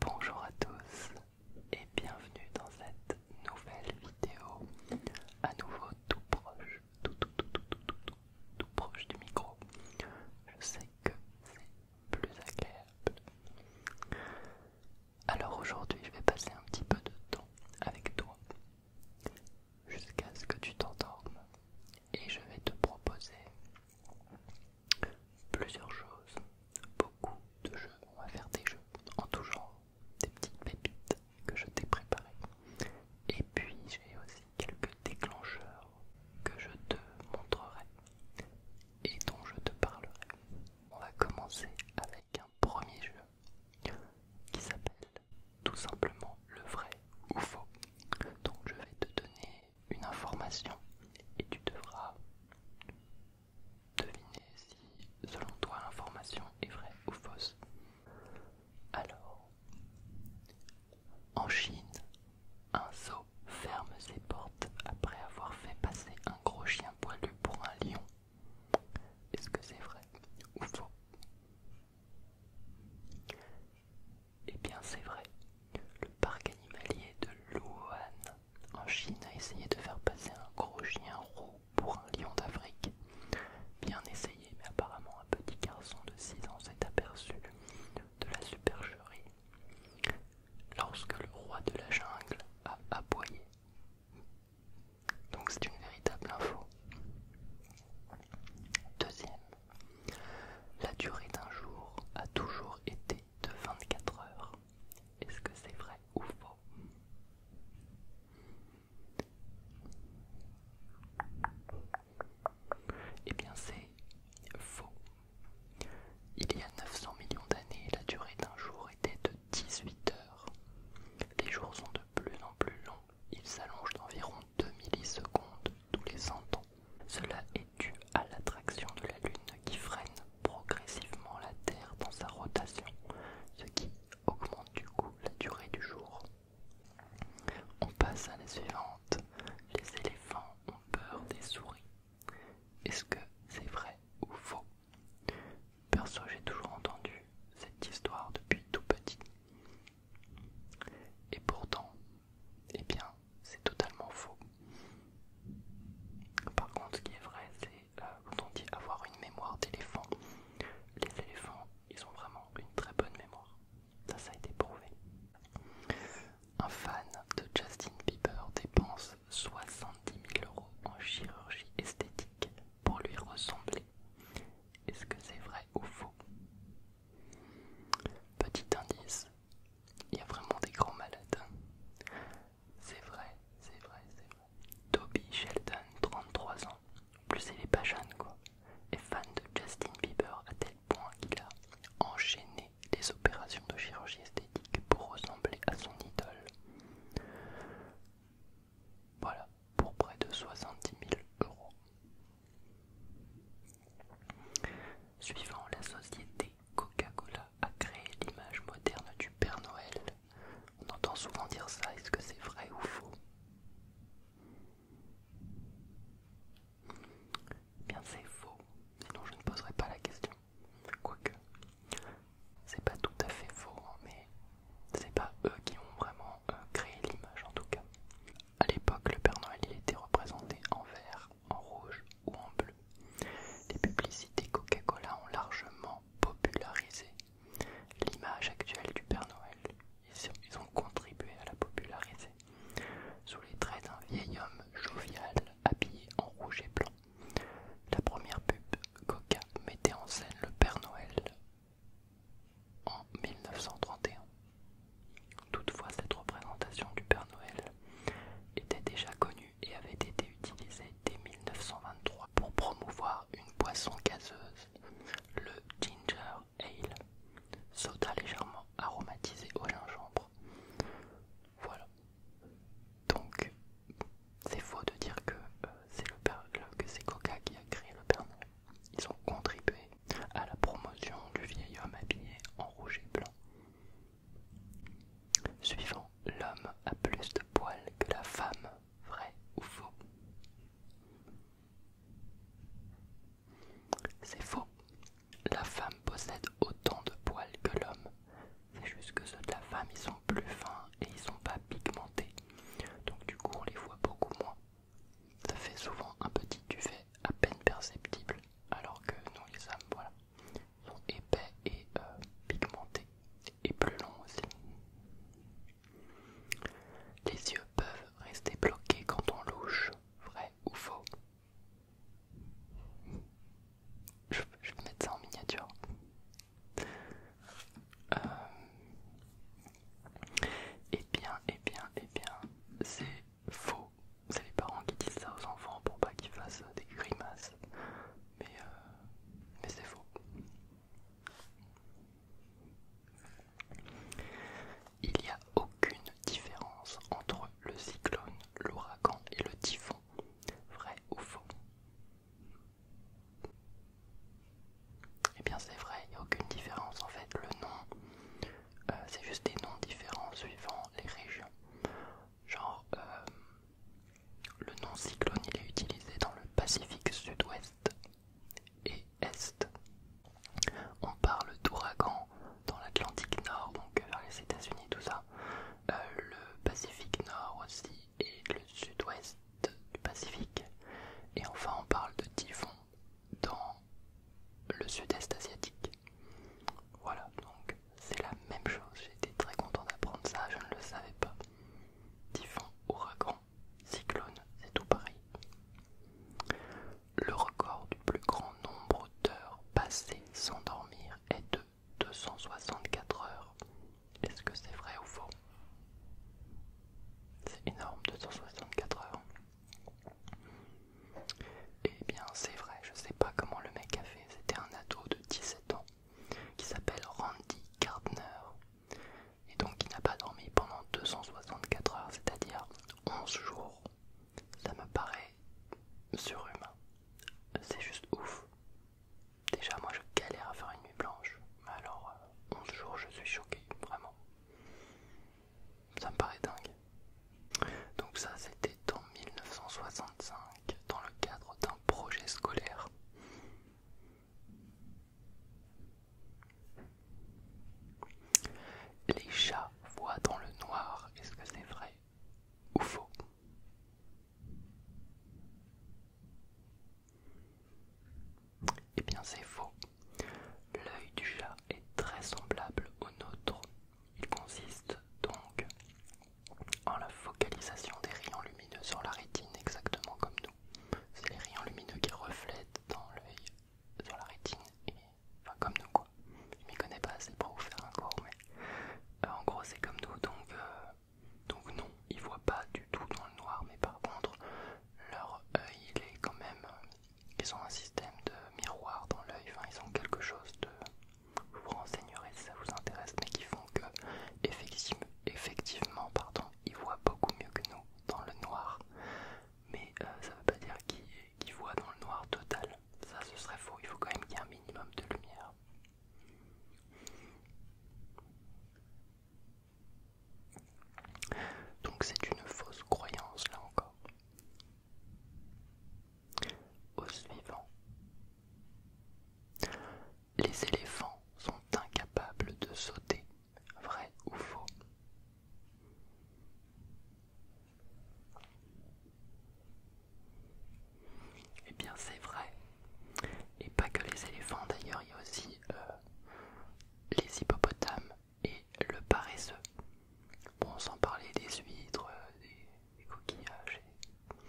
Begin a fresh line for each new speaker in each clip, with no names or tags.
Bonjour à tous et bienvenue dans cette nouvelle vidéo à nouveau tout proche tout proche du micro je sais que c'est plus agréable alors aujourd'hui je vais passer un petit peu de temps avec toi jusqu'à ce que tu t'endormes et je vais te proposer plusieurs choses, beaucoup de jeux. On va faire des jeux en tout genre, des petites pépites que je t'ai préparées. Et puis j'ai aussi quelques déclencheurs que je te montrerai et dont je te parlerai. On va commencer avec un premier jeu qui s'appelle tout simplement le vrai ou faux. Donc je vais te donner une information et tu devras deviner si, selon toi, l'information est vraie ou fausse. Alors, en Chine, un zoo ferme ses portes après avoir fait passer un gros chien poilu pour un lion. Est-ce que c'est vrai ou faux eh bien c'est vrai, le parc animalier de Luohan, en Chine a essayé de faire passer un gros chien roux pour un lion d'Afrique. Bien essayé, mais apparemment un petit garçon de 6 ans s'est aperçu de la supercherie lorsque le roi de la jungle a aboyé. Donc c'est une véritable info. Deuxième, la durée d'un jour a toujours été de 24 heures. Est-ce que c'est vrai ou faux Eh bien c'est faux. Il y a 900 millions d'années, la durée d'un jour était de 18 heures. Les jours sont de plus en plus longs, ils s'allongent d'environ 2 millisecondes tous les 100 ans. Cela est dû à l'attraction de la Lune qui freine progressivement la Terre dans sa rotation, ce qui augmente du coup la durée du jour. On passe à la suivante. Les éléphants ont peur des souris. Est-ce que c'est vrai ou faux Perso, j'ai toujours entendu cette histoire depuis tout petit. Et pourtant, eh bien, c'est totalement faux. Par contre, ce qui est vrai, c'est euh, quand on dit avoir une mémoire d'éléphant, les éléphants, ils ont vraiment une très bonne mémoire. Ça, ça a été prouvé. Un fan de Justin Bieber dépense 70 000 euros en chirurgie esthétique pour lui ressembler. Est-ce que c'est vrai ou faux Petit indice, il y a vraiment des grands malades. Hein. C'est vrai, c'est vrai, c'est vrai. Toby Sheldon, 33 ans. En plus il est pas jeune quoi. Est fan de Justin Bieber à tel point qu'il a enchaîné des opérations de chirurgie esthétique pour ressembler à son idole. Voilà, pour près de 70 000 euros. Suivant la société, Coca-Cola a créé l'image moderne du Père Noël. On entend souvent dire ça, est-ce que c'est vrai ou faux eh Bien c'est faux, sinon je ne poserai pas la question. Quoique, c'est pas tout à fait faux, hein, mais c'est pas eux qui ont vraiment euh, créé l'image en tout cas. À l'époque, le Père Noël était représenté en vert en rouge ou en bleu. Les publicités Coca-Cola ont largement popularisé l'image actuelle du Père Noël. Ils ont contribué à la populariser sous les traits d'un vieil homme jovial habillé en rouge et blanc. La première pub Coca mettait en scène le Père Noël en 1931. Toutefois, cette représentation du Père Noël était déjà connue et avait été utilisée dès 1923 pour promouvoir une boisson gazeuse, le ginger ale, soda légèrement aromatisé au gingembre. Voilà. Donc, c'est faux de dire que euh, c'est que c'est Coca qui a créé le Père Noël. Ils ont contribué à la promotion du vieil homme habillé en rouge et blanc Suivant, l'homme a plus de poils que la femme, vrai ou faux C'est faux. La femme possède autant de poils que l'homme. C'est juste que ceux de la femme, ils sont plus fins et ils sont pas pigmentés. Donc du coup, on les voit beaucoup moins. Ça fait souvent un petit duvet à peine perceptible alors que nous les hommes, voilà, sont épais et euh, pigmentés et plus longs aussi. Les yeux peuvent rester bloqués quand on louche, vrai ou faux. Je, vais mettre ça en miniature. et euh, eh bien, et eh bien, et eh bien, c'est faux. C'est les parents qui disent ça aux enfants pour pas qu'ils fassent des grimaces. Mais, euh, mais c'est faux. Il n'y a aucune différence entre le cyclone, l'ouragan et le typhon. Vrai ou faux Eh bien c'est vrai, il n'y a aucune différence en fait. Le nom euh, c'est juste des noms différents suivant les régions. Genre, euh, le nom cyclone il est utilisé dans le Pacifique sud-ouest et est. On parle d'ouragan dans l'Atlantique nord, donc euh, vers les États-Unis, tout ça. le Pacifique nord aussi et le sud-ouest du Pacifique. Et enfin, on parle de typhon dans le sud-est asiatique. Voilà, donc c'est la même chose. J'étais très content d'apprendre ça, je ne le savais pas. Typhon, ouragan, cyclone, c'est tout pareil. Le record du plus grand nombre d'heures passées sans dormir est de 264 heures. Est-ce que c'est vrai ou faux C'est énorme, 264 heures. Eh bien, c'est vrai, je sais pas comment le mec a fait. C'était un ado de 17 ans qui s'appelle Randy Gardner et donc qui n'a pas dormi pendant 264 heures, c'est-à-dire 11 jours. Ça me paraît surhumain. C'est juste ouf. Déjà, moi je galère à faire une nuit blanche, mais alors 11 euh, jours, je suis choqué, vraiment. Ça me paraît dingue. Donc ça, c'était en 1965, dans le cadre d'un projet scolaire. Les chats voient dans le noir, est-ce que c'est vrai ou faux Eh bien c'est faux. L'œil du chat est très semblable au nôtre il consiste donc en la focalisation des rayons lumineux sur la rétine exactement comme nous. C'est les rayons lumineux qui reflètent dans l'œil sur la rétine, et, enfin comme nous quoi. Je m'y connais pas c'est pour vous faire un cours, mais euh, en gros c'est comme nous, donc, euh, donc non, ils voient pas du tout dans le noir, mais par contre leur œil il est quand même, ils ont un système de miroir dans l'œil, enfin ils ont quelque chose de... Je vous renseignerai si ça vous intéresse, mais qui font que effectivement, pardon, ils voient beaucoup mieux que nous dans le noir. Mais ça euh, ça veut pas dire qu'ils voient dans le noir total. Ça ce serait faux, il faut quand même qu'il y ait un minimum de lumière. Donc c'est une fausse croyance là encore. Au suivant. Les éléphants sont incapables de sauter, vrai ou faux. Eh bien c'est vrai. Et pas que les éléphants d'ailleurs, il y a aussi euh, les hippopotames et le paresseux. Bon, sans parler des huîtres, des, coquillages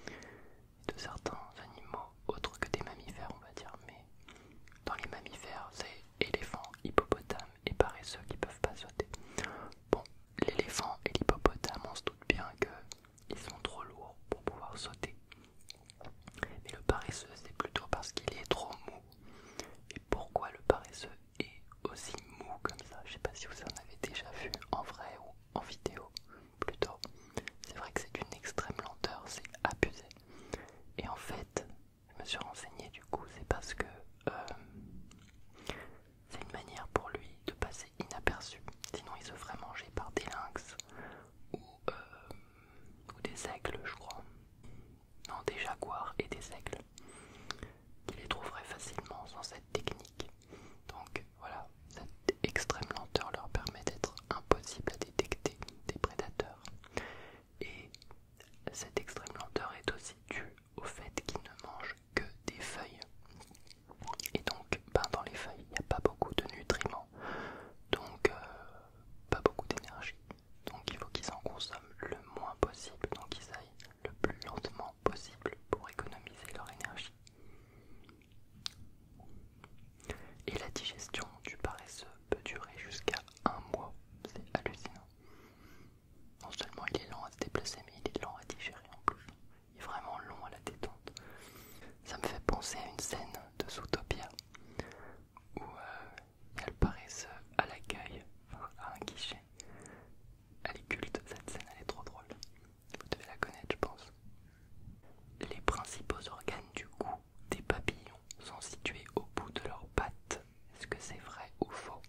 et, de certains animaux autres que des mammifères, on va dire. Mais dans les mammifères, c'est éléphants, hippopotames et paresseux qui peuvent pas sauter. Bon, l'éléphant et l'hippopotame, on se doute bien qu'ils sont trop lourds pour pouvoir sauter. Mais le paresseux, c'est plutôt parce qu'il est trop mou. Et pourquoi le paresseux et aussi mou comme ça. Je sais pas si vous en avez déjà vu en vrai ou en vidéo plutôt. C'est vrai que c'est d'une extrême lenteur, c'est abusé. Et en fait, je me suis renseigné du coup, c'est parce que euh, c'est une manière pour lui de passer inaperçu. Sinon, il se ferait manger par des lynx ou, euh, ou des aigles, je crois. Non, des jaguars et des aigles. Ils les trouveraient facilement sans cette technique. Donc voilà, cette extrême lenteur leur permet d'être impossible à détecter des prédateurs. Et cette extrême lenteur est aussi due au fait qu'ils ne mangent que des feuilles. Et donc, ben, dans les feuilles, il n'y a pas beaucoup de nutriments, donc euh, pas beaucoup d'énergie. Donc il faut qu'ils en consomment le moins possible, donc ils aillent le plus lentement possible pour économiser leur énergie. Et la digestion du paresseux peut durer jusqu'à un mois, c'est hallucinant. Non seulement il est lent à se déplacer, mais il est lent à digérer en plus. Il est vraiment long à la détente. Ça me fait penser à une scène de Zootopia où euh, il y a le paresseux à l'accueil, à un guichet, elle est culte, cette scène, elle est trop drôle. Vous devez la connaître, je pense. Les principaux organes du goût des papillons sont situés au bout de leurs pattes. Est-ce que c'est vrai ou faux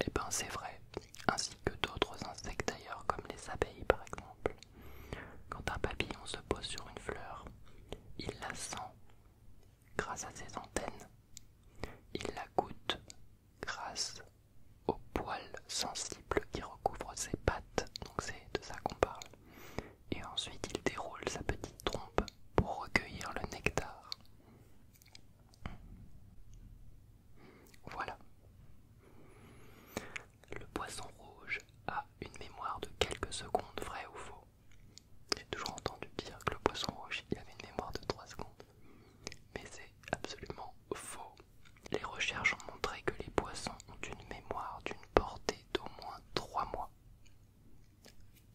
Eh ben c'est vrai, ainsi que d'autres insectes d'ailleurs, comme les abeilles par exemple. Quand un papillon se pose sur une fleur, il la sent grâce à ses antennes. Il la goûte grâce aux poils sensibles qui recouvrent ses pattes. Donc c'est de ça qu'on parle. Et ensuite il déroule sa petite trompe pour recueillir le nectar. Voilà. Le poisson rouge a une mémoire de quelques secondes, vrai ou faux. J'ai toujours entendu dire que le poisson rouge avait une mémoire de 3 secondes. Mais c'est absolument faux. Les recherches ont montré que les poissons ont une mémoire d'une portée d'au moins 3 mois.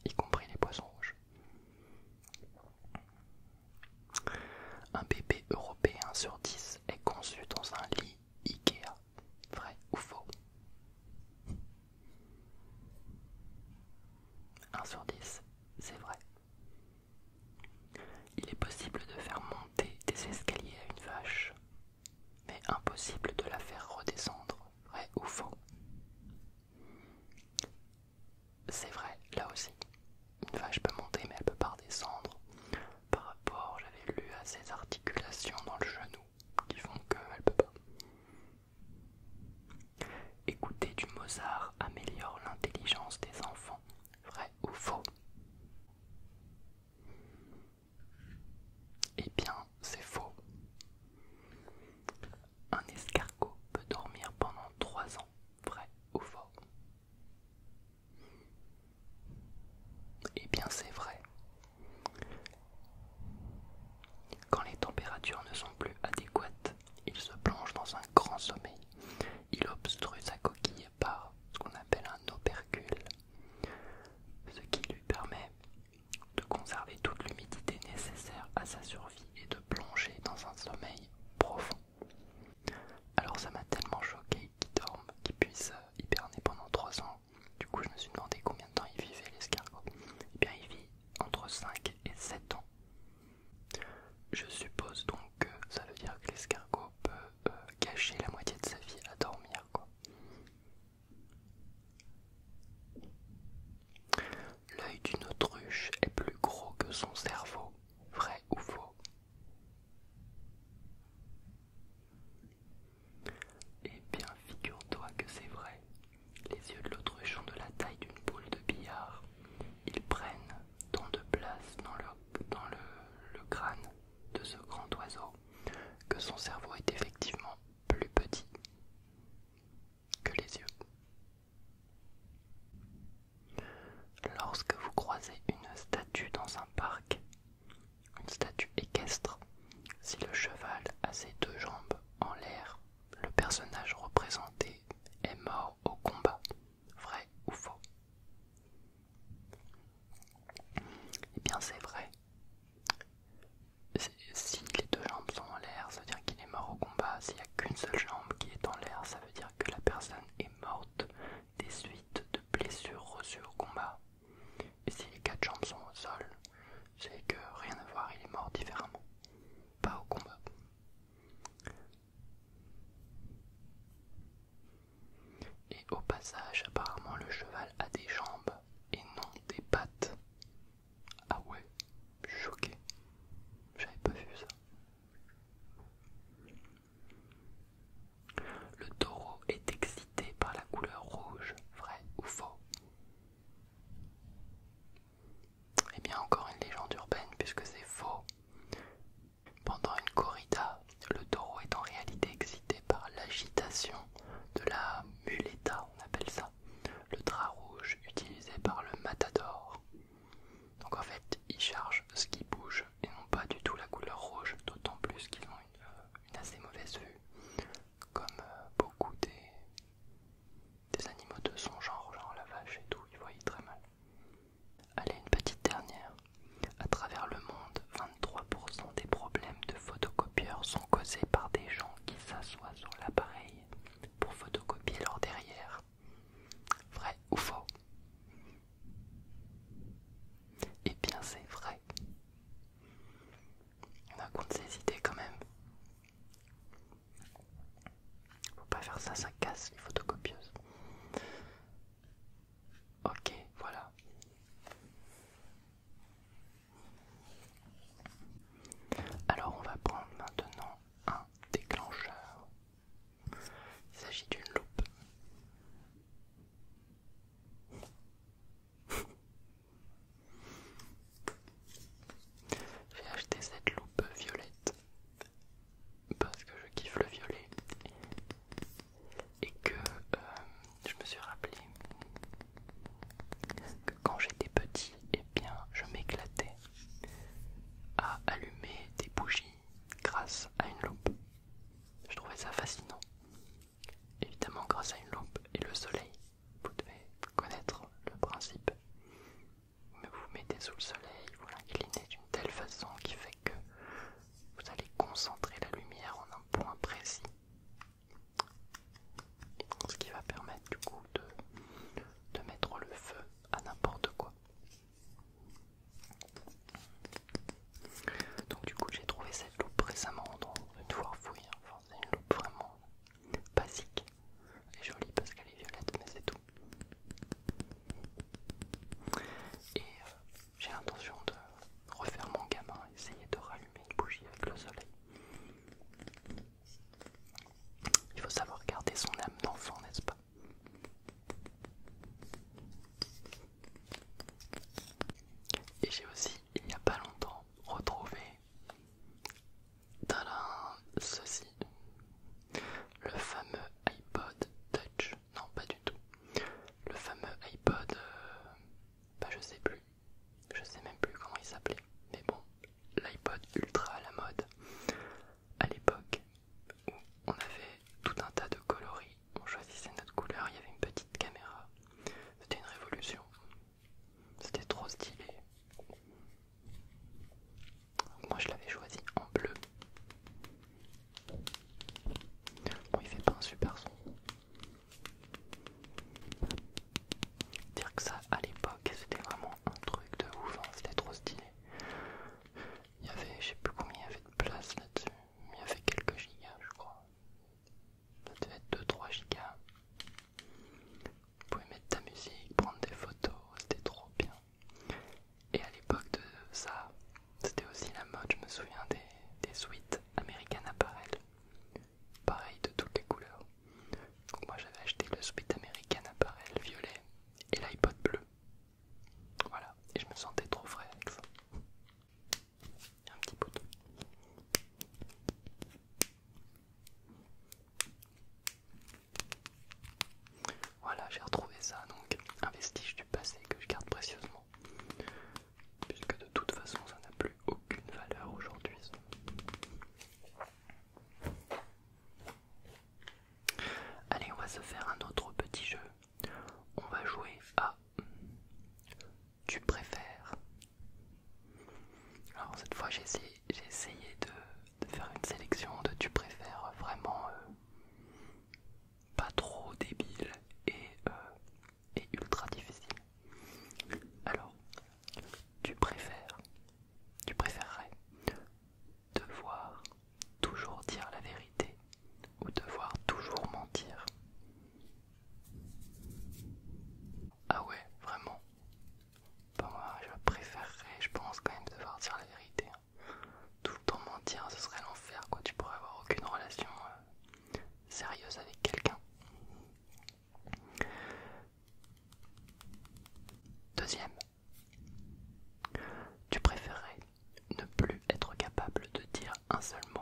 Y compris les poissons rouges. Un bébé européen sur 10 est conçu dans un lit Ikea. Vrai ou faux 1 sur 10, c'est vrai. Il est possible de faire monter des escaliers à une vache, mais impossible de la faire redescendre. Vrai ou faux C'est vrai, là aussi. Une vache peut monter mais elle peut pas redescendre. Par rapport, j'avais lu à ses articulations dans le genou qui font qu'elle peut pas. Écouter du Mozart améliore l'intelligence des enfants, vrai ou faux Eh bien, c'est faux. Un escargot peut dormir pendant 3 ans, vrai ou faux Eh bien, c'est vrai, quand les températures ne sont plus adéquates, il se plonge dans un grand sommeil. Il obstrue sa coquille par ce qu'on appelle un opercule, ce qui lui permet de conserver toute l'humidité nécessaire à sa survie et de plonger dans un sommeil profond. Alors ça m'a tellement choqué qu'il dorme, qu'il puisse euh, hiberner pendant ans. Du coup, je me suis demandé combien de temps il vivait l'escargot. Eh bien, il vit entre 5 et 7 ans. Je suppose donc que ça veut dire que l'escargot peut cacher euh, la moitié de sa vie à dormir, quoi. L'œil d'une autruche est plus gros que son cerveau, vrai ou faux eh bien, figure-toi que c'est vrai. Les yeux de l'autruche ont de la taille d'une boule de billard. Ils prennent tant de place dans le, le crâne de ce grand oiseau que son cerveau est effectivement plus petit que les yeux. Lorsque vous croisez une statue dans un parc, une statue équestre. Si le cheval a ses deux jambes en l'air, le personnage représenté est mort au combat. Vrai ou faux Eh bien c'est vrai. Si les deux jambes sont en l'air, ça veut dire qu'il est mort au combat. S'il n'y a qu'une seule jambe qui est en l'air, ça veut dire que la personne est morte des suites de blessures reçues au combat. Et si les quatre jambes sont au sol, c'est que rien à voir, il est mort différemment, pas au combat. Et au passage, apparemment, le cheval a des jambes et non des pattes. Ah ouais, choqué. J'avais pas vu ça. Le taureau est exilé par la couleur rouge, vrai ou faux Et eh bien encore une légende urbaine puisque c'est faux. Pendant une corrida, le taureau est en réalité excité par l'agitation de la muleta, on appelle ça, le drap rouge utilisé par le matador. Donc en fait, ils charge ce qui bouge et non pas du tout la couleur rouge, d'autant plus qu'ils ont une euh, assez mauvaise vue comme euh, beaucoup des, animaux de son genre, genre la vache et tout, ils voyaient très mal. Allez, une petite dernière. À travers le monde, 23% des problèmes de photocopieurs sont causés par des gens qui s'assoient sur l'appareil pour photocopier leur derrière. Vrai ou faux Eh bien, c'est vrai. On a contre ses idées quand même. Faut pas faire ça, ça casse les photocopieuses. Ok, voilà. Alors on va prendre maintenant un déclencheur. Il s'agit d'une loupe. J'ai acheté cette loupe violette parce que je kiffe le violet et que euh, je me suis rappelé que quand j'étais petit, et eh bien, je m'éclatais à allumer des bougies grâce à une loupe. Je trouvais ça fascinant. Évidemment, grâce à une lampe et le soleil, vous devez connaître le principe. Mais vous, vous mettez sous le soleil, vous l'inclinez d'une telle façon qui fait que vous allez concentrer la lumière en un point précis. Ce qui va permettre du coup de, mettre le feu à n'importe quoi. Donc du coup j'ai trouvé ça une loupe récemment, en devoir fouiller. c'est une loupe vraiment basique. Elle est jolie parce qu'elle est violette, mais c'est tout. Et euh, j'ai l'intention de refaire mon gamin, essayer de rallumer une bougie avec le soleil. Il faut savoir garder son âme d'enfant, n'est-ce pas Et j'ai aussi il n'y a pas longtemps, retrouvé ceci, le fameux iPod Touch. Non, pas du tout. Le fameux iPod, euh, bah je sais plus, je sais même plus comment il s'appelait, mais bon, l'iPod ultra à la mode à l'époque où on avait tout un tas de coloris, on choisissait notre couleur, il y avait une petite caméra c'était une révolution. C'était trop stylé. moi je l'avais choisi en bleu. Bon il fait pas un super son. Dire que ça à l'époque c'était vraiment un truc de ouf, hein, c'était trop stylé. Il y avait, je sais plus combien il y avait de place là-dessus, mais il y avait quelques giga, je crois ça devait être 2-3 gigas. Vous pouvez mettre ta musique, prendre des photos, c'était trop bien. Et à l'époque de ça, c'était aussi la mode, je me souviens, des, des suites American Apparel. Pareil de toutes les couleurs. Donc moi j'avais acheté le suite American Apparel violet et l'iPod bleu. Voilà, et je me sentais trop frais avec ça un petit bouton. Voilà, j'ai retrouvé ça, donc un vestige du passé que je garde précieusement, puisque de toute façon ça n'a plus aucune valeur aujourd'hui. Allez, on va se faire un autre petit jeu. On va jouer à tu préfères. Alors cette fois j'ai essayé, de, faire une sélection de tu préfères vraiment euh, pas trop débile et, euh, et ultra difficile. Alors tu préfères, tu préférerais devoir toujours dire la vérité ou devoir toujours mentir ah ouais, vraiment. je préférerais, je pense quand même devoir dire la vérité. Hein. Tout le temps mentir, ce serait l'enfer, quoi. Tu pourrais avoir aucune relation euh, sérieuse avec quelqu'un. Deuxième, tu préférerais ne plus être capable de dire un seul mot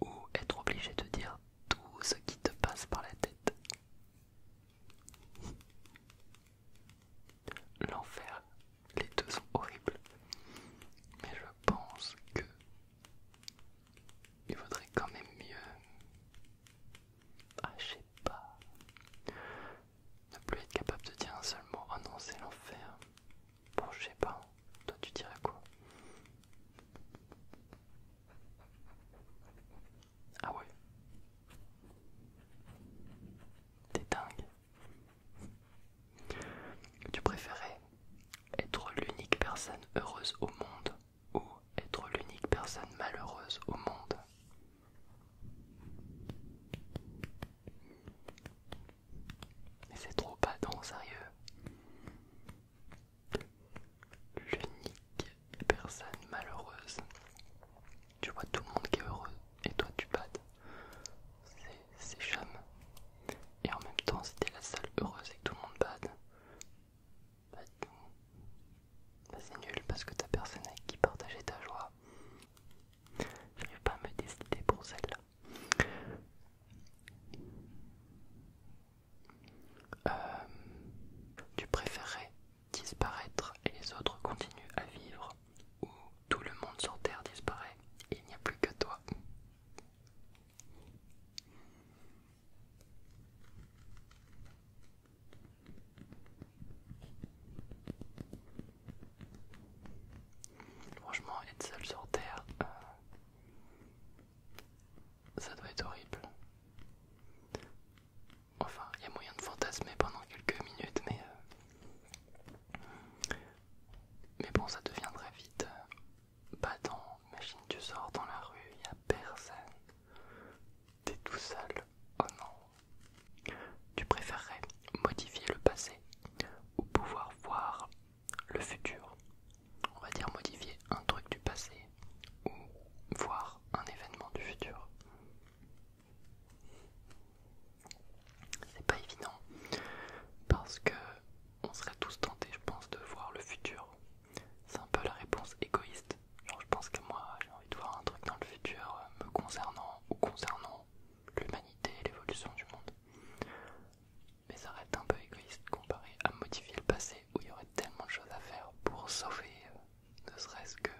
ou être obligé de dire tout ce qui te passe par la tête. L'enfer, les deux sont horribles, mais je pense que il vaudrait quand même mieux. Ah, je sais pas. Ne plus être capable de dire un seul mot, oh non, c'est l'enfer. Bon, je sais pas. Toi, tu dirais quoi Ah ouais T'es dingue. Tu préférais être l'unique personne heureuse au monde ou être l'unique personne malheureuse au monde Mais c'est trop badant, sérieux l'unique personne malheureuse. Tu vois tout le monde qui est heureux et toi tu bades. C'est chum. Et en même temps, si t'es la seule heureuse et tout le monde bade, bah, bah, c'est nul parce que t'as personne avec qui partager ta joie. J'arrive pas me décider pour celle-là. Euh, tu préférerais disparaître et les autres continuent à vivre ou tout le monde sur Terre disparaît et il n'y a plus que toi Franchement, être seul sur Terre, euh, ça doit être horrible. Enfin, il y a moyen de fantasmer pendant quelques minutes, mais... Euh, mais bon, ça devient très vite. Euh, battant, machine tu sors dans la rue, il n'y a personne. T'es tout seul. Oh non. Tu préférerais modifier le passé ou pouvoir voir le futur. On va dire modifier un truc du passé ou voir un événement du futur. C'est pas évident parce que on serait tous tentés, je pense, de voir le futur. C'est un peu la réponse égoïste. Genre, je pense que moi, j'ai envie de voir un truc dans le futur euh, me concernant ou concernant l'humanité, et l'évolution du monde mais ça reste un peu égoïste comparé à modifier le passé où il y aurait tellement de choses à faire pour sauver, euh, ne serait-ce que,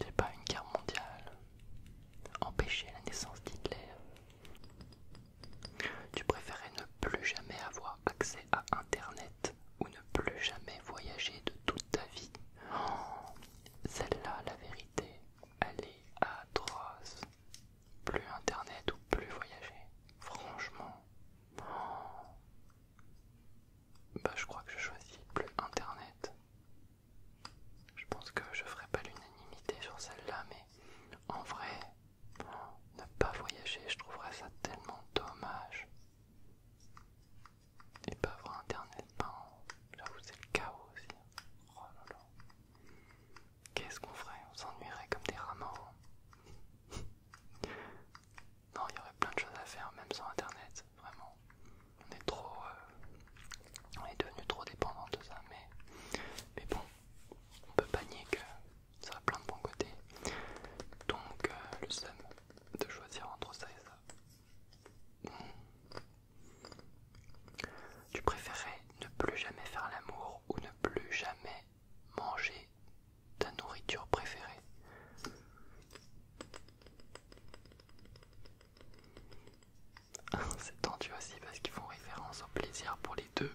c'est pas, une guerre mondiale, empêcher la naissance d'Hitler. Tu préférais ne plus jamais avoir accès à Internet ou ne plus jamais voyager de toute ta vie. Oh, celle-là, la vérité, elle est atroce plus internet ou plus voyager. Franchement, bah je crois que je choisis plus internet. Je pense que je ferai pas l'unanimité sur celle-là, mais en vrai, ne pas voyager, je trouverais ça tellement dommage. Et pas avoir internet, ben, où c'est le chaos aussi. Oh Qu'est-ce qu'on ferait On s'ennuierait comme des rats morts. non, il y aurait plein de choses à faire, même sans internet, vraiment. On est trop. Euh, on est devenu trop dépendant de ça, mais, mais bon, on peut pas nier que ça a plein de bons côtés. Donc, euh, le seum de choisir entre ça et ça. Hmm. Tu préférerais ne plus jamais faire l'amour ou ne plus jamais manger ta nourriture préférée. C'est tendu aussi parce qu'ils font référence au plaisir pour les deux.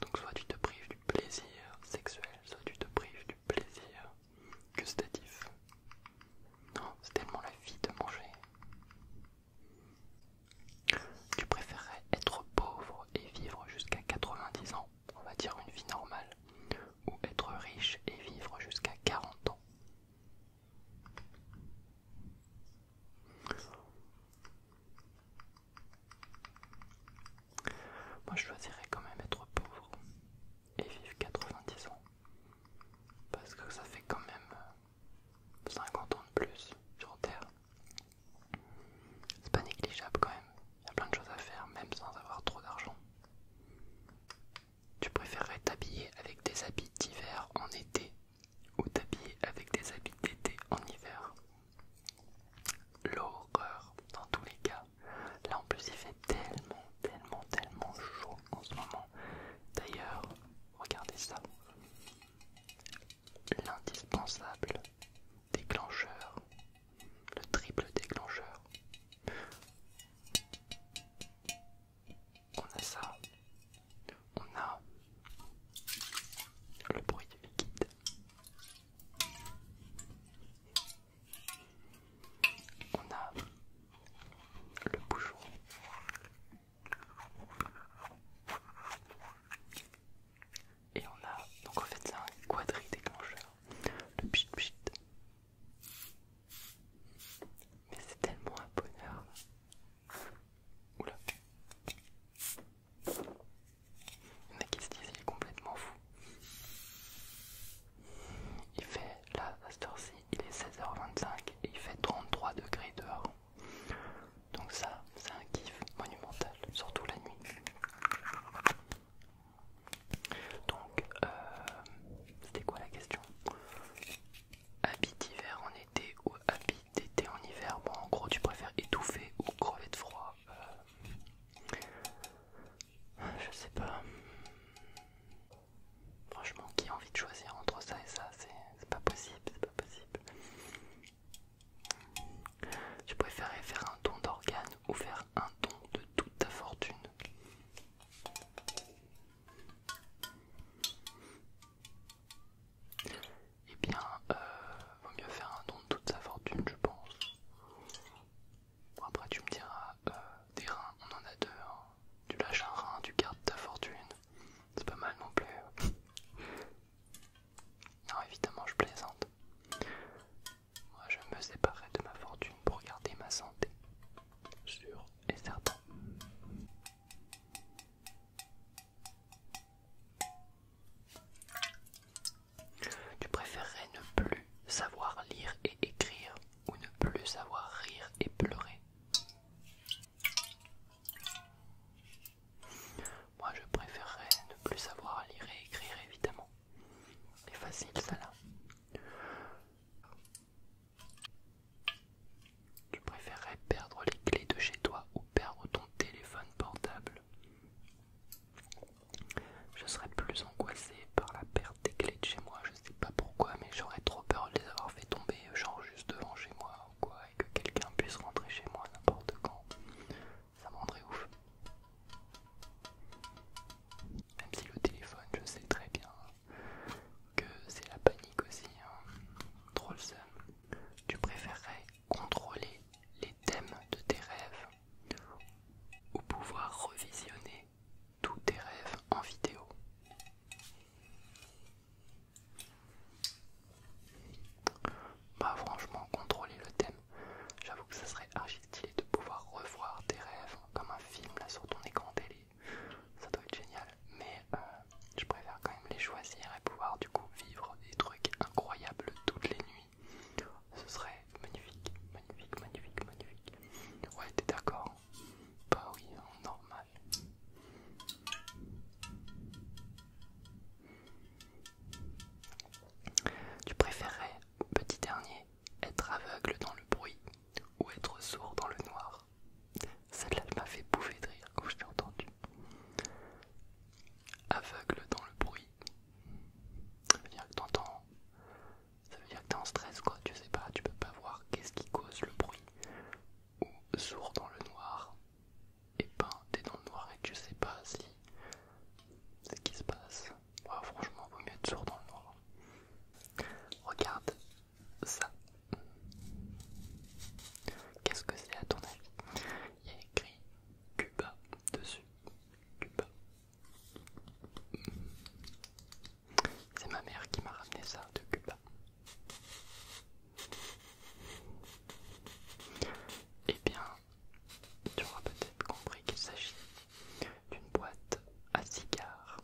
Donc soit tu te prives du plaisir sexuel, soit tu te prives du plaisir gustatif. Non, c'est tellement la vie de manger. Tu préférerais être pauvre et vivre jusqu'à 90 ans, on va dire une vie normale, ou être riche et vivre jusqu'à 40 ans moi je choisirais quand même être pauvre et vivre 90 ans parce que ça fait quand même euh, 50 ans de plus sur Terre. C'est pas négligeable quand même. Il y a plein de choses à faire, même sans avoir trop d'argent. Tu préférerais t'habiller avec des habits d'hiver en été ou t'habiller avec des habits d'été en hiver L'horreur dans tous les cas. Là en plus il fait tellement, tellement, tellement chaud en ce moment. D'ailleurs, regardez ça l'indispensable déclencheur, le triple déclencheur. On a ça, on a le bruit du liquide. On a le bouchon. Et on a donc en fait c'est un quadri déclencheur, le pchit pchit. Mais c'est tellement un bonheur. Oula. Il y en a qui se disent il est complètement fou. Il fait là à cette heure-ci, il est 16h25 et il fait 33 degrés dehors. Donc ça, c'est un kiff monumental, surtout la nuit. Donc, euh, c'était quoi la question Habit d'hiver en été ou habit d'été en hiver Bon, en gros, tu préfères étouffer ou crever de froid euh, Je sais pas. Franchement, qui a envie de choisir entre ça et ça C'est pas possible, c'est pas possible. Je préférais faire un don d'organes ou faire un don de toute ta fortune Eh bien, euh, vaut mieux faire un don de toute sa fortune, je pense. après, tu me diras, euh, des reins, on en a deux. Tu hein. lâches un rein, tu gardes ta fortune. C'est pas mal non plus. Non, évidemment, je plaisante. Moi, je me séparerai de ma fortune pour garder ma santé. Sûr et certain. Tu préférerais ne plus savoir lire et écrire ou ne plus savoir rire et pleurer moi je préférerais ne plus savoir lire et écrire évidemment. C'est facile ça là. Tu préférerais perdre les clés de chez toi ou perdre ton téléphone portable Je serais plus angoissée par la perte des clés de chez moi, je sais pas pourquoi, mais j'aurais trop peur de les avoir fait tomber, genre juste devant chez moi ou quoi que quelqu'un puisse rentrer chez moi n'importe quand, ça me rendrait ouf. Même si le téléphone, je sais très bien que c'est la panique aussi, trop hein. Tu préférerais contrôler les thèmes de tes rêves ou pouvoir revisionner tous tes rêves en vidéo bah franchement, contrôler le thème, j'avoue que ça serait archi stylé de pouvoir revoir tes rêves comme un film là sur ton écran télé. Ça doit être génial, mais euh, je préfère quand même les choisir et pouvoir du coup vivre des trucs incroyables toutes les nuits. Ce serait magnifique, magnifique, magnifique, magnifique. Ouais, t'es d'accord Bah oui, non, tu préférerais, petit dernier, être aveugle dans le bruit ou être sourd dans le noir. Celle-là m'a fait bouffer de rire quand je t'ai entendu. Aveugle dans le bruit. Ça veut dire que t'entends. Ça veut dire que t'es en stress quoi, tu sais pas, tu peux pas voir qu'est-ce qui cause le bruit. Ou sourd dans le noir et peint des le noir et je sais pas si ce qui se passe. franchement, vous mieux toujours dans le noir. Regarde ça. Qu'est-ce que c'est à ton avis Il y a écrit Cuba dessus. Cuba. C'est ma mère qui m'a ramené ça de Cuba. Eh bien, tu auras peut-être compris qu'il s'agit d'une boîte à cigares.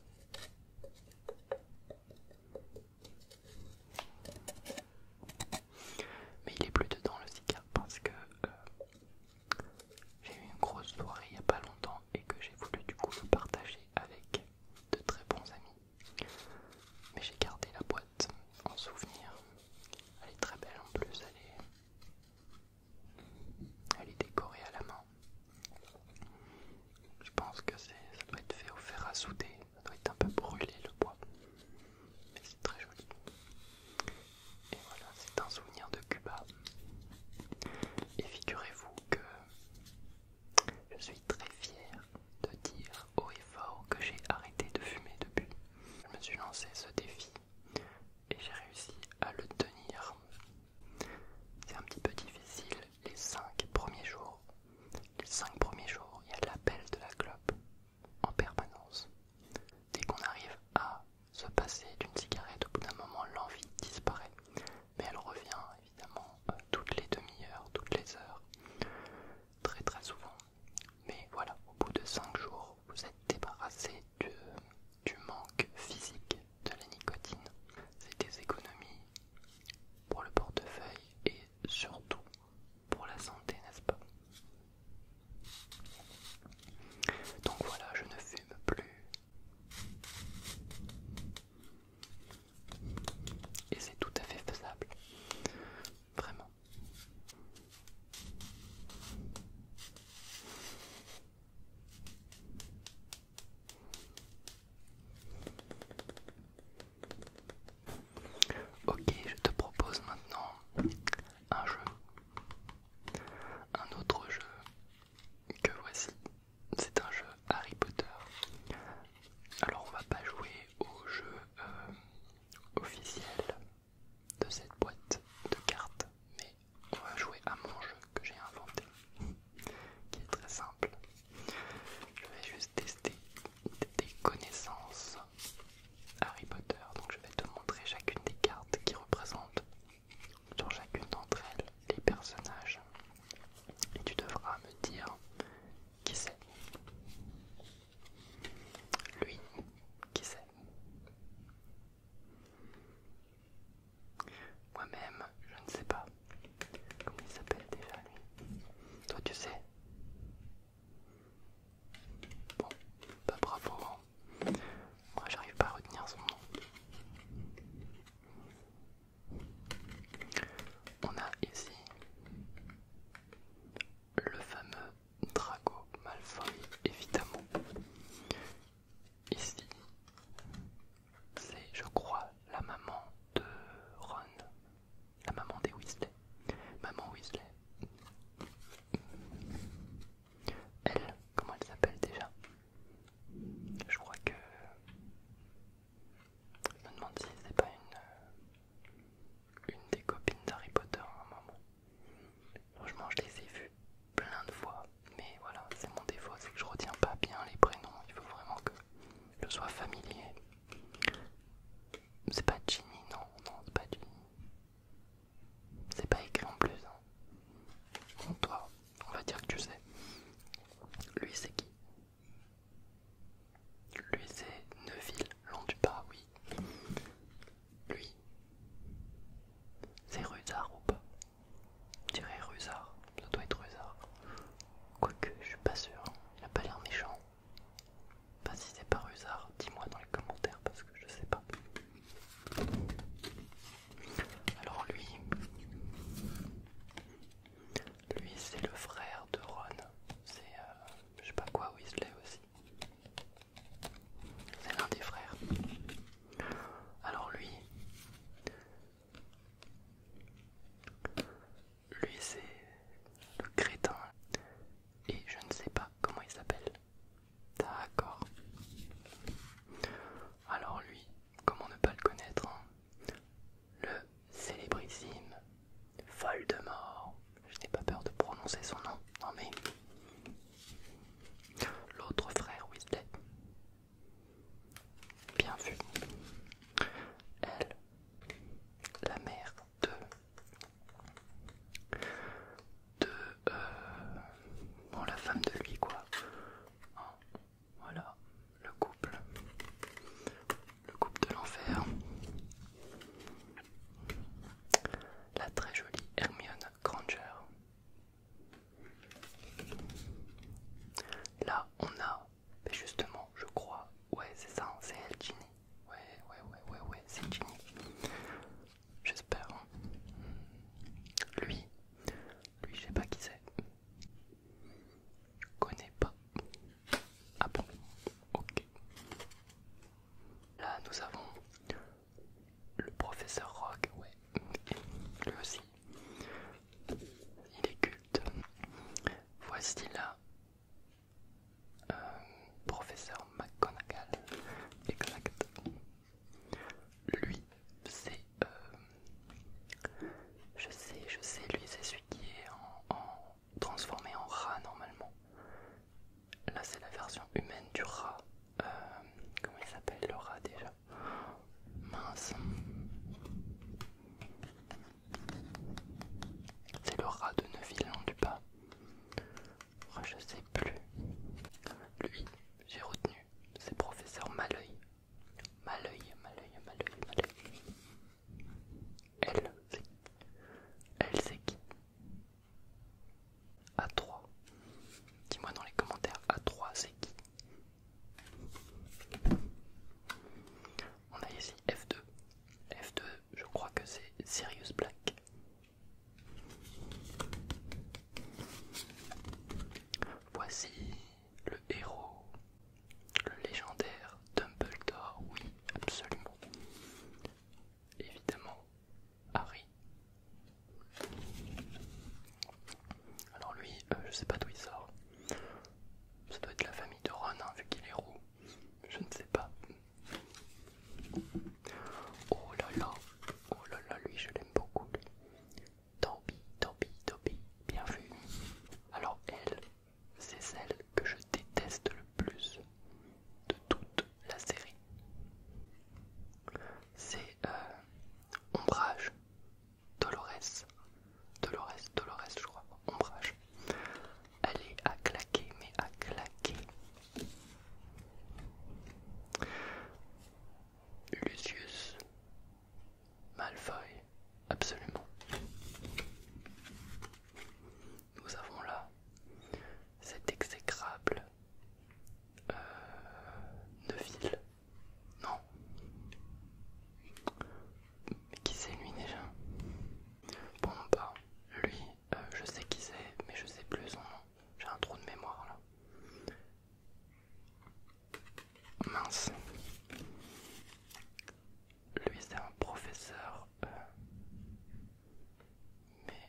Mais il est plus dedans le cigare parce que euh, j'ai eu une grosse soirée il n'y a pas longtemps et que j'ai voulu du coup le partager avec de très bons amis. Mais j'ai gardé la boîte en souvenir. Elle est très belle en plus, elle est, elle est décorée à la main. Je pense que ça doit être fait au fer à souder, ça doit être un peu brûlé le bois. Mais c'est très joli. Et voilà, c'est un souvenir de Cuba. Et figurez-vous que je suis très fier de dire haut et fort que j'ai arrêté de fumer depuis. Je me suis lancé ce défi et j'ai réussi à le tenir. C'est un petit peu difficile les 5 premiers jours. Les 5 premiers jours, il y a l'appel de la clope en permanence. Dès qu'on arrive à se passer d'une cigarette, au bout d'un moment, l'envie disparaît. Mais elle revient évidemment euh, toutes les demi-heures, toutes les heures très très souvent. Mais voilà, au bout de 5 jours, vous êtes débarrassé du, manque physique de la nicotine. C'est des économies pour le portefeuille et surtout pour la santé, n'est-ce pas Donc voilà, je ne fume plus. Et c'est tout à fait faisable. Vraiment. Ok, je te propose maintenant un jeu. Un autre jeu que voici. C'est un jeu Harry Potter. Alors on va pas jouer au jeu euh, officiel de cette boîte de cartes, mais on va jouer à mon jeu que j'ai inventé, qui est très simple. Je vais juste tester des connaissances Harry Potter, donc je vais te montrer chacune des cartes qui représentent sur chacune d'entre elles les personnages et tu devras me dire qui c'est Lui, qui c'est Moi-même, je ne sais pas. Comment il s'appelle déjà lui Toi, tu sais Bon, pas bravo. Hein. Moi, j'arrive pas à retenir son nom. On a ici le fameux Drago Malfoy, évidemment. Ici, c'est, je crois, la maman de Ron, la maman des Weasley, maman Weasley. Elle, comment elle s'appelle déjà Je crois que je me demande si c'est pas une, euh, une des copines d'Harry Potter à un moment. Franchement, je les ai vues plein de fois, mais voilà, c'est mon défaut, c'est que je retiens pas bien les prénoms. Il faut vraiment que je sois familier. C'est pas Ginny, non, non, c'est pas Ginny. C'est pas écrit en plus. Hein. toi, on va dire que tu sais. Lui, c'est qui lui c'est Neuville, l'on du pas, oui. Lui, c'est Ruzard ou pas Je dirais Ruzard, ça doit être Ruzard. Quoique, je suis pas sûr, il a pas l'air méchant. Pas si c'est pas Ruzard, dis-moi dans les commentaires parce que je sais pas. Alors lui, lui, c'est le frère de Ron. C'est euh, je sais pas quoi Weasley aussi. C'est l'un des frères. Alors lui, lui c'est le crétin et je ne sais pas comment il s'appelle. D'accord. Alors lui, comment ne pas le connaître hein le célébrissime Voldemort. Je n'ai pas peur de prononcer son nom, non mais. L'autre frère Weasley. Bien vu. Elle, la mère de. de. Euh, bon, la femme de lui, quoi. Hein, voilà, le couple le couple de l'enfer, la très jolie Hermione Granger. Là, on a, mais justement, je crois, ouais, c'est ça, hein, c'est elle, Ginny. Ouais, ouais, ouais, ouais, ouais, c'est Ginny. J'espère. Hein. Lui, lui, je sais pas qui c'est. Je Connais pas. Ah bon Ok. Là, nous avons le professeur rock ouais, lui aussi. Il est culte. Voici là euh, professeur McGonagall, exact. Lui, c'est. Euh, je sais, je sais, lui, c'est celui qui est en transformé en rat normalement. Là c'est la version humaine du rat. Euh, comment il s'appelle le rat déjà Mince. C'est le rat de Neuville du pas. Oh, je sais plus. Lui, j'ai retenu. C'est professeur Malœil. Malœil, Malœil, Malœil, Malœil. Elle c'est qui A3. Dis-moi dans les commentaires, A3 c'est qui On a ici F2. F2, je crois que c'est Sirius Black. Voici le héros le légendaire Dumbledore, oui, absolument. Évidemment, Harry. Alors lui, je euh, je sais pas d'où il sort. Ça doit être la famille de Ron, hein, vu qu'il est roux. Je ne sais pas. Oh là là, oh là là, lui, je l'aime beaucoup. Lui. Toby, Toby, Toby, bien vu. Alors elle, c'est celle que je déteste le plus de toute la série. C'est euh, Ombrage, Dolores, Dolores, Dolores, je crois, Ombrage. Elle est à claquer, mais à claquer. Lucius Malfoy absolument. Nous avons là cet exécrable euh, Neville, Non. Qui c'est lui déjà Bon pas. lui, euh, je sais qui c'est, mais je sais plus son nom. J'ai un trou de mémoire là. Mince lui c'est un professeur euh, mais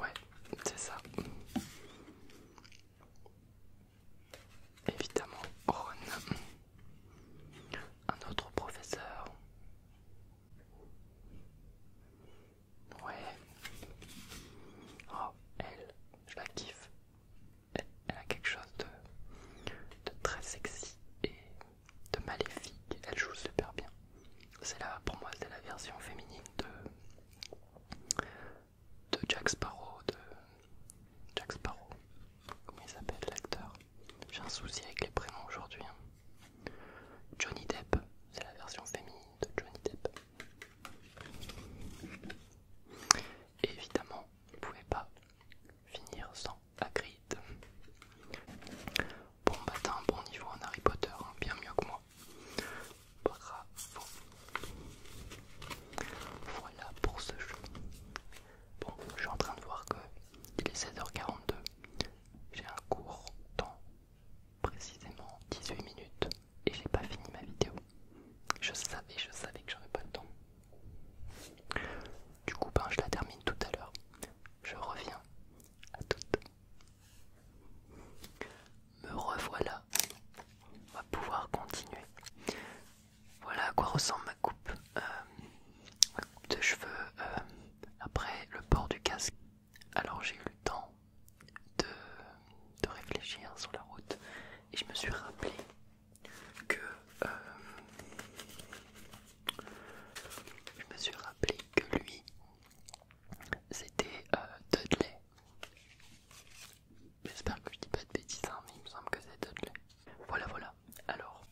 ouais c'est ça évidemment Ron un autre professeur ouais oh elle je la kiffe elle, a quelque chose de, très sexy et de maléfique. Elle joue super bien. C'est là, pour moi, c'est la version féminine de, Jack Sparrow, de Jack Sparrow. Comment il s'appelle l'acteur J'ai un souci avec les prénoms aujourd'hui. Hein. Johnny Depp, c'est la version féminine de Johnny Depp. Et évidemment, vous ne pouvez pas finir sans Hagrid. Bon bah un bon niveau en Harry Potter, hein, bien mieux que moi. Bravo. Voilà pour ce jeu. Bon, je suis en train de voir que il est 16h42. J'ai un court temps, précisément 18 minutes, et j'ai pas fini ma vidéo. Je savais, je savais que j'aurais pas le temps. Du coup, ben, je la termine tout à l'heure. Je reviens à toute. Me revoilà. On va pouvoir continuer. Voilà à quoi ressemble ma coupe, euh, de cheveux euh, après le port du casque. Alors j'ai eu le temps de, de réfléchir sur la route et je me suis rappelé que euh, je me suis rappelé que lui, c'était euh, Dudley. J'espère que je dis pas de bêtises, hein, mais il me semble que c'est Dudley. Voilà, voilà. Alors,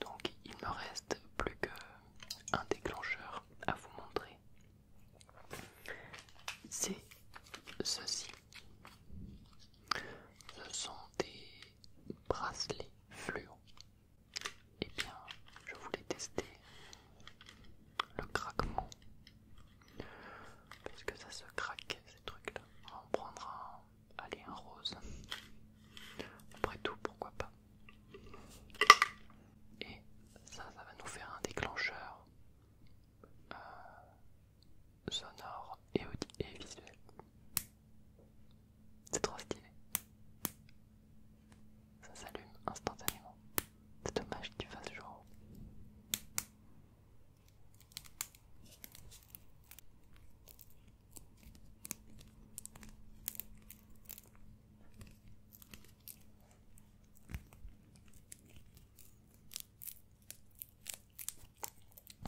donc il me reste plus qu'un déclencheur à vous montrer. C'est ceci. Ce sont des bracelets fluo. Eh bien, je voulais tester le craquement. Parce que ça se craque, ces trucs-là. On prendra un, un rose. Après tout, pourquoi pas. Et ça, ça va nous faire un déclencheur. Euh, sonore et, et visuel. C'est trop stylé. Ça s'allume instantanément. C'est dommage tu fasse jour.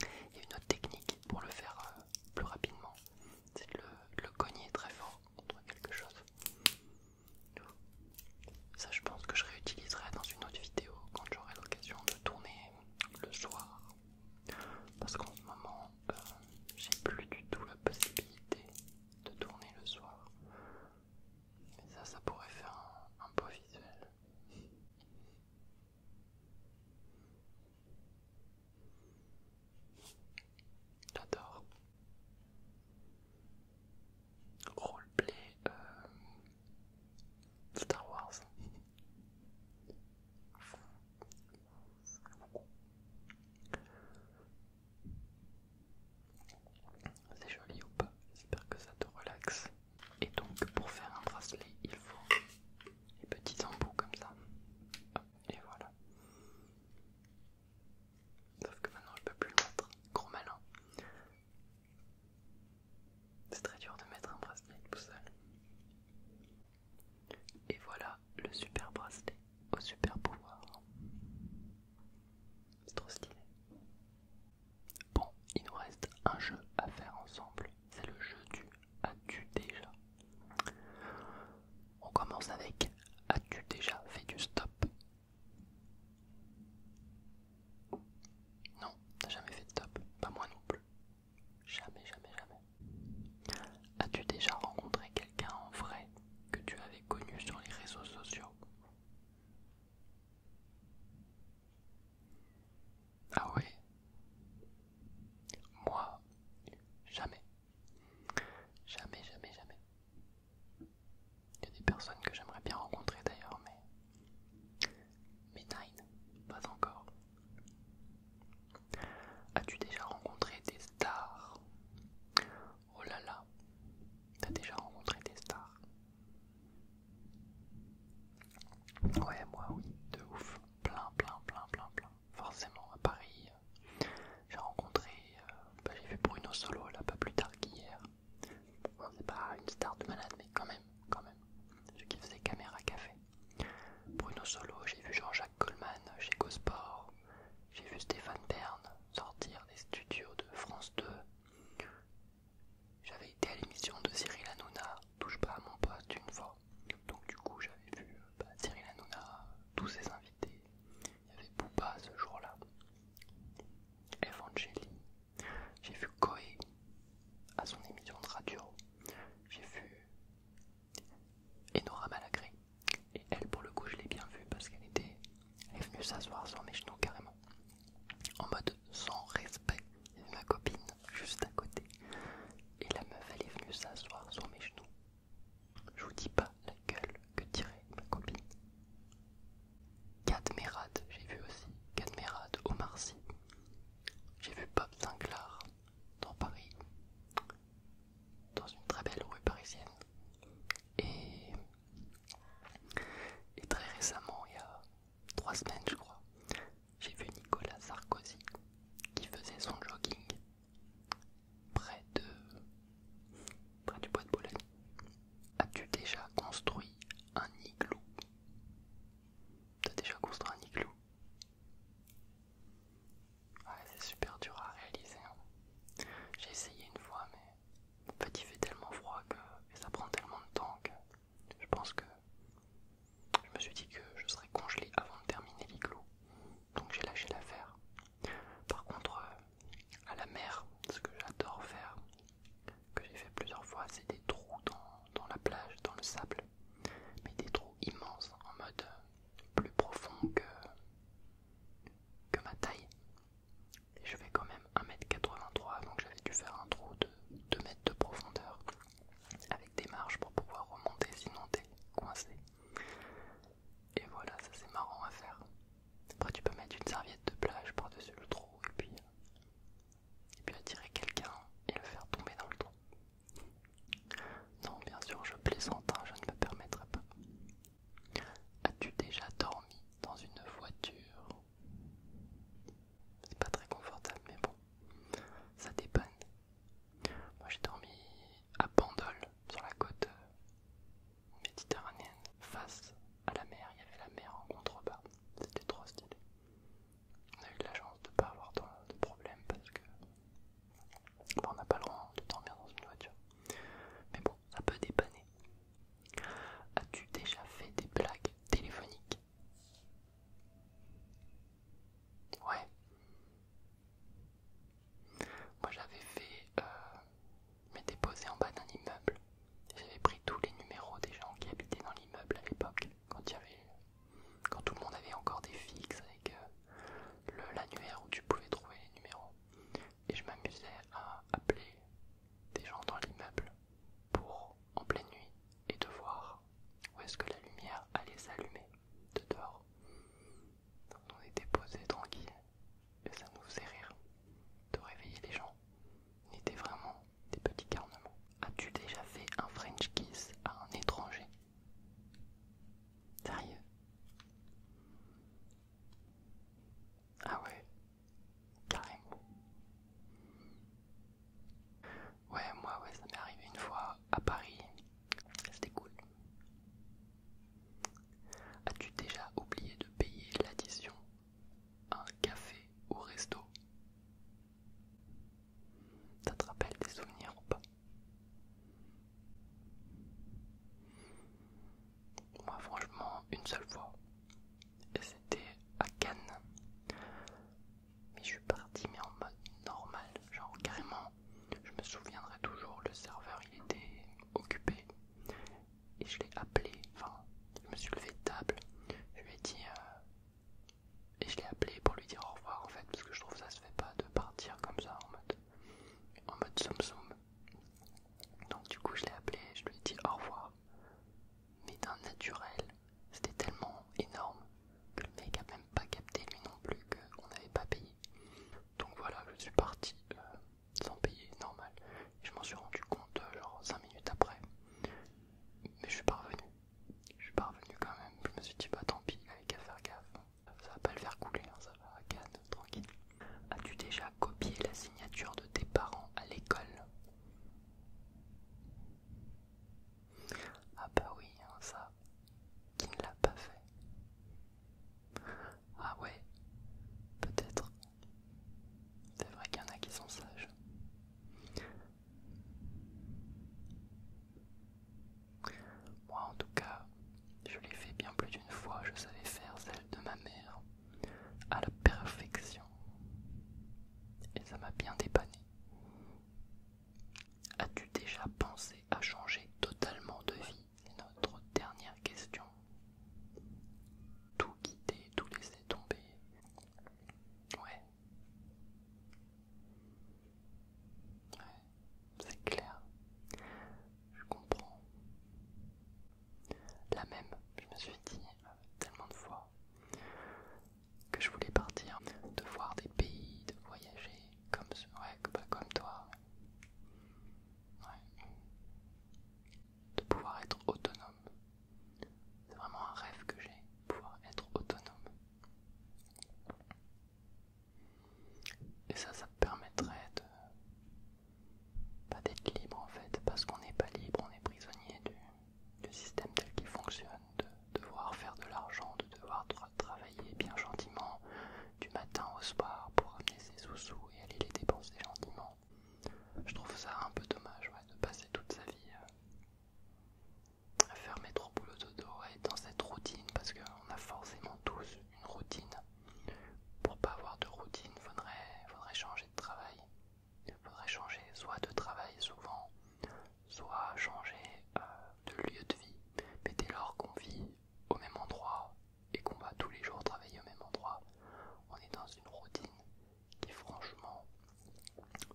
Il y a une autre technique pour le faire euh, plus rapidement, c'est de, le cogner très fort contre quelque chose. Ça, je pense que je réutiliserai dans une autre vidéo quand j'aurai l'occasion de tourner le soir. Parce qu'en ce moment, euh, j'ai plus du tout la possibilité de tourner le soir. Mais ça, ça pourrait faire un, un beau visuel. J'adore. Roleplay euh, Star Wars. C'est joli ou pas J'espère que ça te relaxe. Et donc pour faire un bracelet, il faut les petits embouts comme ça. Et voilà. Sauf que maintenant je peux plus le mettre. Gros malin. C'est très dur de mettre un bracelet tout seul. Et voilà le super bracelet au super pouvoir. C'est trop stylé. Bon, il nous reste un jeu à faire ensemble. C'est le jeu du as-tu déjà. On commence avec as-tu déjà fait du stop Non, t'as jamais fait de stop. Pas moi non plus. Jamais, jamais, jamais. As-tu déjà rencontré quelqu'un en vrai que tu avais connu sur les réseaux sociaux ah ouais Moi, jamais. Jamais, jamais, jamais. Il y a des personnes que j'aimerais bien rencontrer d'ailleurs, mais... Mais Nine, pas encore. As-tu déjà rencontré des stars Oh là là, t'as déjà rencontré des stars Ouais, moi oui, de ouf. Plein, plein, plein, plein, plein. Forcément, à Paris, euh, j'ai rencontré, euh, bah, j'ai vu Bruno Solo là pas plus tard qu'hier. c'est pas une star de malade, mais quand même, quand même. Ceux qui faisaient Caméra café. Bruno Solo, j'ai vu Jean-Jacques Coleman chez Gosport. J'ai vu Stéphane Bern sortir des studios de France 2. J'avais été à l'émission de Cyril Hanouna, touche pas à mon poste une fois. Donc du coup j'avais vu euh, bah, Cyril Hanouna, tous ses invités. Il y avait Booba ce jour-là. Evangeli. J'ai vu Koé à son émission de radio. J'ai vu Enora Malagré. Et elle pour le coup je l'ai bien vue parce qu'elle était. Elle est venue s'asseoir sur mes genoux carrément en mode sans respect. Il ma copine juste à côté. Et la meuf, elle est venue s'asseoir sur mes genoux. Je vous dis pas la gueule que tirait ma copine. Cadmerade, j'ai vu aussi. Cadmerade au Marcy. J'ai vu Bob Sinclair dans Paris, dans une très belle rue parisienne. Et, et très récemment, il y a trois semaines, je crois, j'ai vu Nicolas Sarkozy qui faisait son jogging près de près du bois de Boulogne. As-tu déjà construit un igloo T'as déjà construit un igloo Ouais, c'est super dur à réaliser. Hein. J'ai essayé une fois, mais en fait il fait tellement froid que et ça prend tellement de temps que je pense que je me suis dit que je serais congelé avant de terminer l'igloo, donc j'ai lâché l'affaire. Par contre, euh, à la mer, ce que j'adore faire, que j'ai fait plusieurs fois, c'est des trous dans, la plage, dans le sable, mais des trous immenses, en mode euh, plus profond que, ma taille. Et je fais quand même 1m83, donc j'avais dû faire un trou de 2 mètres de profondeur avec des marches pour pouvoir remonter sinon t'es coincé. Et voilà, ça c'est marrant à faire. Après tu peux mettre une serviette de plage par-dessus le trou et puis, et puis attirer quelqu'un et le faire tomber dans le trou. Non bien sûr je plaisante, hein, je ne me permettrai pas. As-tu déjà dormi dans une voiture c'est pas très confortable, mais bon, ça dépanne. Moi j'ai dormi à Bandol, sur la côte euh, méditerranéenne, face à la mer. Il y avait la mer en contrebas, c'était trop stylé. On a eu de la chance de pas avoir de problème parce que on n'a pas le droit de dormir dans une voiture. Mais bon, ça peut dépanner. As-tu déjà fait des blagues téléphoniques Ouais. Moi j'avais fait euh, me déposer en bas d'un immeuble. J'avais pris tous les numéros des gens qui habitaient dans l'immeuble à l'époque, quand il y avait quand tout le monde avait encore des fixes avec euh, le l'annuaire où tu pouvais trouver les numéros. Et je m'amusais à appeler des gens dans l'immeuble pour, en pleine nuit, et de voir où est-ce que la lumière allait s'allumer de dehors. Donc on était posé tranquille et ça nous faisait rire de réveiller les gens. On était vraiment des petits carnements. As-tu déjà fait un French kiss à un étranger Sérieux Ah ouais, carrément. Ouais, moi, ouais, ça m'est arrivé une fois à Paris. C'était cool. As-tu déjà oublié de payer l'addition à un café ou resto Ça te rappelle des souvenirs ou pas Moi, franchement, une seule fois. Et c'était à Cannes. Mais je suis parti mais en mode normal, genre carrément. Je me souviendrai toujours, le serveur il était occupé et je l'ai appelé, enfin je me suis levé de table, je lui ai dit euh, et je l'ai appelé pour lui dire au revoir en fait parce que je trouve ça se fait pas de partir comme ça en mode en mode Donc du coup je l'ai appelé, je lui ai dit au revoir mais d'un naturel. C'était tellement énorme que le mec a même pas capté mais non plus qu'on n'avait pas payé. Donc voilà, je suis parti euh, sans payer, normal. je m'en suis rendu compte euh, genre 5 minutes après. Mais je suis pas revenu. Je suis pas revenu quand même. Je me suis dit bah tant pis, avec qu'à faire gaffe. Ça va pas le faire couler, hein, ça va tranquille. As-tu déjà copié la signature de tes parents à l'école ah bah oui, hein, ça, qui ne l'a pas fait. Ah ouais, peut-être. C'est vrai qu'il y en a qui sont sages. Moi en tout cas, je l'ai fait bien plus d'une fois, je savais faire celle de ma mère à la perfection. Et ça m'a bien dépanné. As-tu déjà pensé à changer totalement de vie C'est notre dernière question. Tout quitter, tout laisser tomber. Ouais. Ouais, c'est clair. Je comprends. La même, je me suis dit euh, tellement de fois que je voulais partir, de voir des pays, de voyager, comme, ouais, comme toi. De pouvoir être autonome. C'est vraiment un rêve que j'ai, pouvoir être autonome. Et ça, ça me permettrait de... Pas bah, d'être libre en fait, parce qu'on n'est pas libre, on est prisonnier du le système tel qu'il fonctionne, de devoir faire de l'argent, de devoir travailler bien gentiment du matin au soir pour amener ses sous-sous et aller les dépenser gentiment. Je trouve ça un peu dommage de passer toute sa vie euh, à faire métro boulot dodo et dans cette routine parce qu'on a forcément tous une routine. Pour pas avoir de routine, faudrait, faudrait changer de travail il faudrait changer soit de travail souvent, soit changer euh, de lieu de vie. Mais dès lors qu'on vit au même endroit et qu'on va tous les jours travailler au même endroit, on est dans une routine qui franchement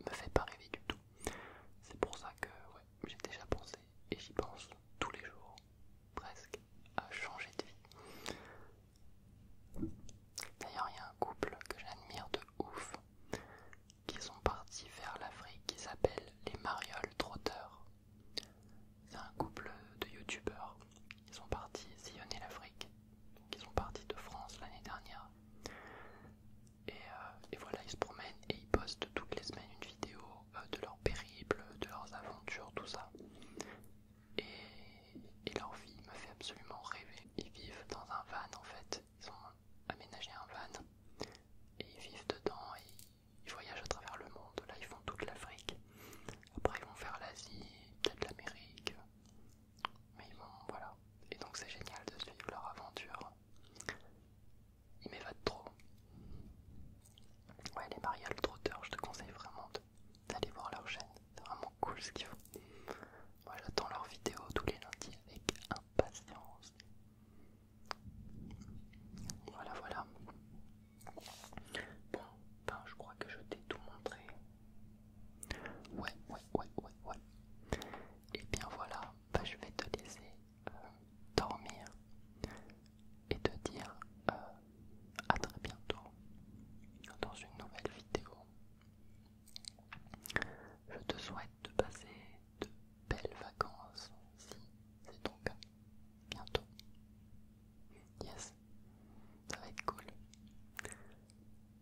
me fait pas rêver du tout. C'est pour ça que j'ai déjà pensé et j'y pense tous les jours presque à changer de vie. D'ailleurs il y a un couple que j'admire de ouf qui sont partis vers l'Afrique qui s'appellent les Mariol Trotteurs. C'est un couple de youtubeurs. Ils sont partis sillonner l'Afrique. Ils sont partis de France l'année dernière. Euh, et, voilà, ils se promènent et ils postent toutes les semaines une vidéo euh, de leur périple, de leurs aventures, tout ça. et leur vie me fait absolument rêver. Ils vivent dans un van en fait ils ont aménagé un van et ils vivent dedans et ils voyagent à travers le monde. Là, ils font toute l'Afrique. Après, ils vont faire l'Asie, peut-être l'Amérique. Mais ils vont, voilà. Et donc, c'est génial de suivre leur aventure. Ils m'évadent trop. Ouais, les Maria le Trotteur, je te conseille vraiment d'aller voir leur chaîne. C'est vraiment cool ce qu'ils font voilà j'attends leurs vidéos tous les lundis avec impatience. Voilà, voilà. Bon, ben je crois que je t'ai tout montré. Ouais, ouais, ouais, ouais, ouais. Et bien voilà, ben, je vais te laisser euh, dormir et te dire euh, à très bientôt dans une nouvelle vidéo. Je te souhaite de passer de belles vacances si c'est ton cas. Bientôt. Yes, ça va être cool.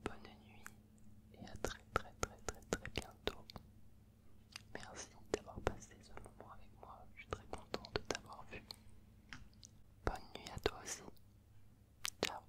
Bonne nuit et à très très très très très bientôt. Merci d'avoir passé ce moment avec moi. Je suis très content de t'avoir vu. Bonne nuit à toi aussi. Ciao.